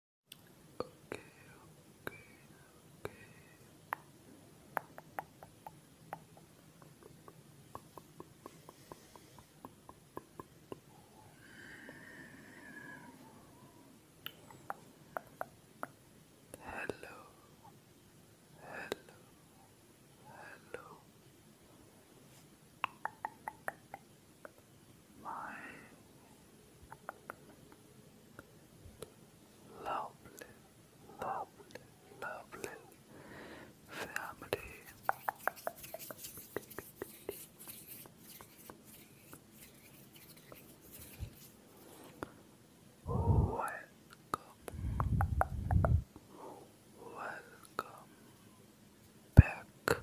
Okay, okay, okay. Hello, hello, hello my lovely, lovely, lovely family. Welcome, welcome back,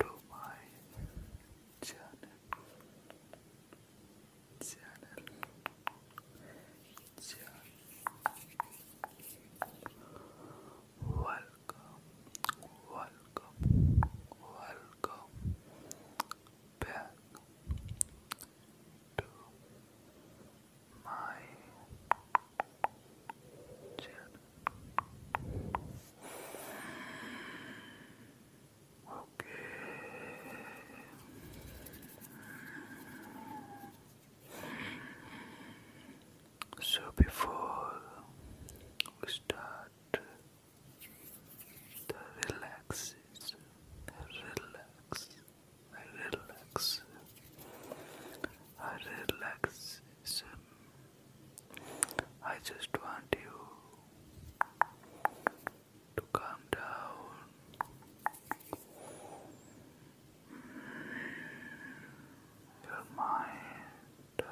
to my channel channel channel welcome welcome welcome back to my Okay. So before we start the relaxes, relax, I relax, I relaxation I just want you to calm down your mind.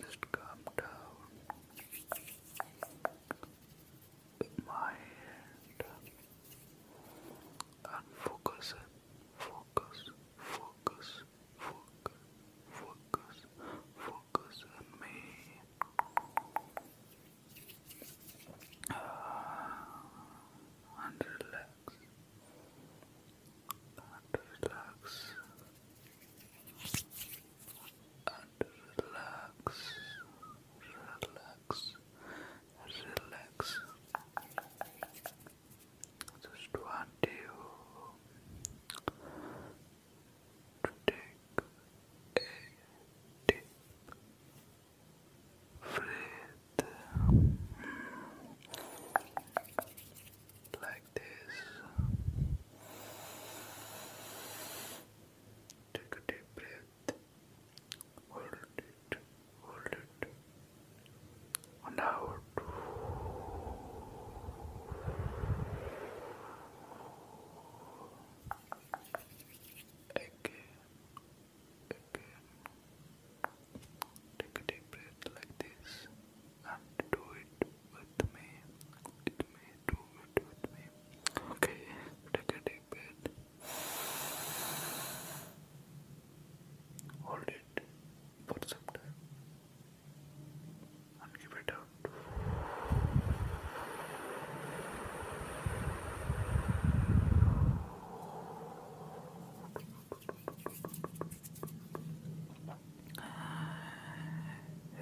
Just calm down your mind Focus, focus, focus, focus, focus on me. Uh, relax. relax. Relax. Relax. Relax just want you take a deep breath like this. Take a deep breath. Hold hold it, and out. Again, again. Take a deep breath like this and do it with me. With me, do it with me. Okay, take a deep breath. Hold it it for some time and give it out.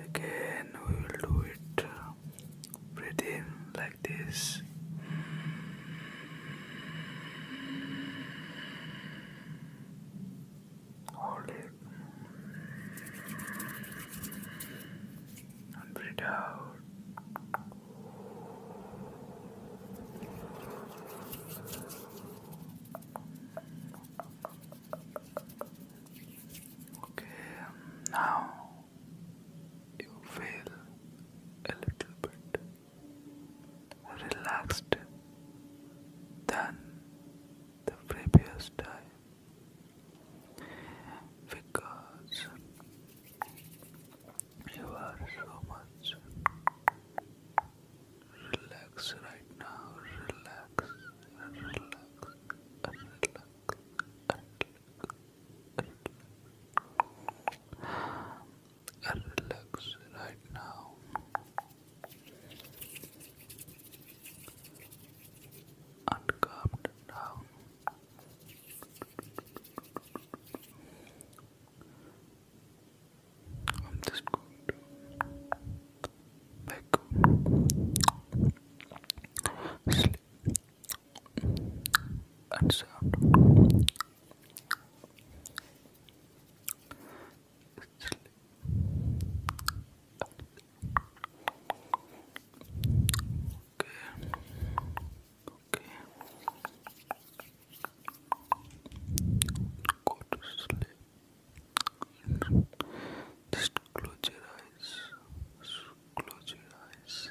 Again, we will do it uh, breathe in like this eyes. Hold it and breathe out. Okay, now you feel a little bit relaxed than the previous time because you are so much relaxed right now. Relax, relax, relax, relax and looks right now. And I'm just going to sleep and sound. Okay. Okay. Go to sleep. Just close your eyes. Close your eyes.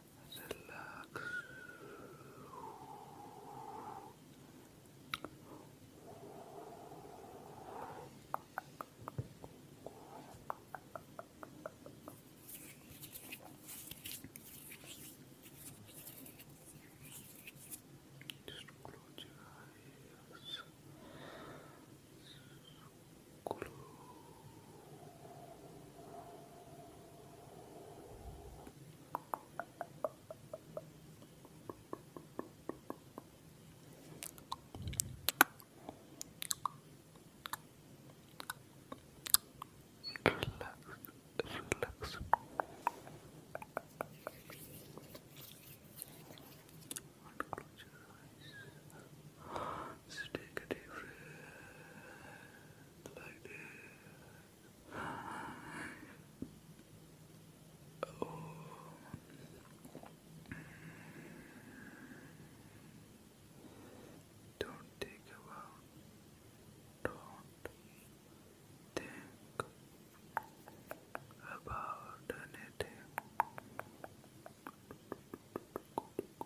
relax. Just close your eyes. Close. Relax, relax. Close your eyes. Just take a deep breath like this. Don't think about. do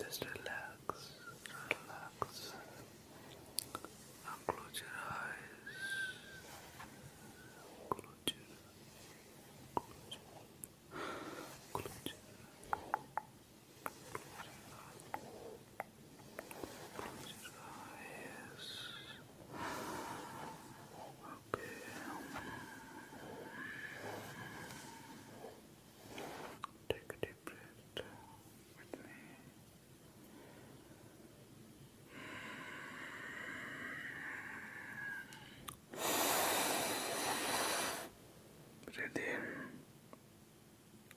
Just relax, relax. close your eyes. close your eyes. Okay. Take a deep breath with me. Breathe in,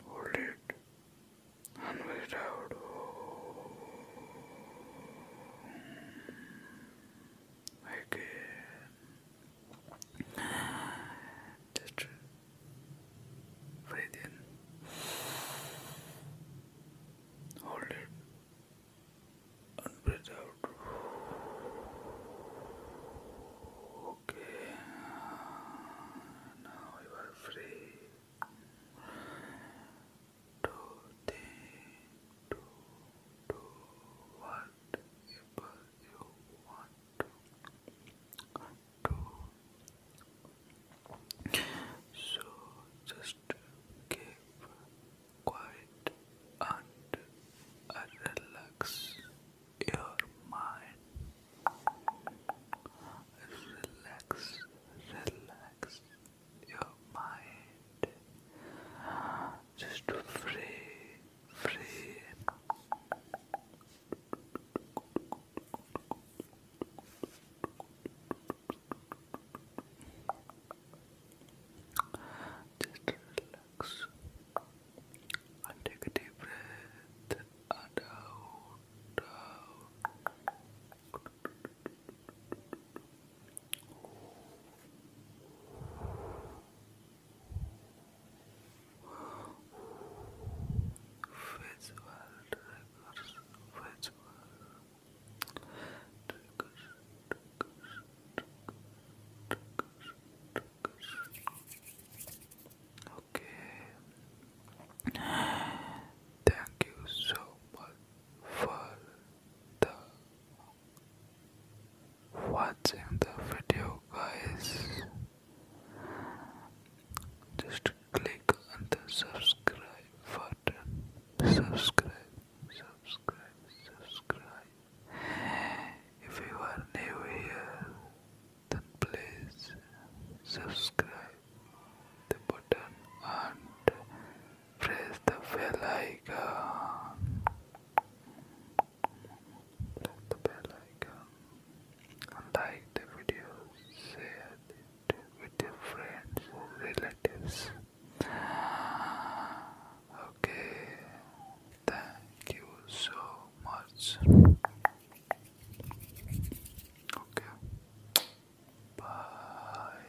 hold it, and let it out. Again. Just breathe in. Hold it and breathe out. Okay, now you are free to think, to you want to. So just keep quiet and relax your mind. Relax, relax your mind. Just free free. Just relax and take a deep breath and out, Visual triggers, Okay. Thank you so much for the watching the video guys just click on the subscribe button subscribe subscribe subscribe if you are new here then please subscribe the button and press the bell icon like the bell icon like um, the video, share with your friends or relatives. Okay, thank you so much. Okay, bye.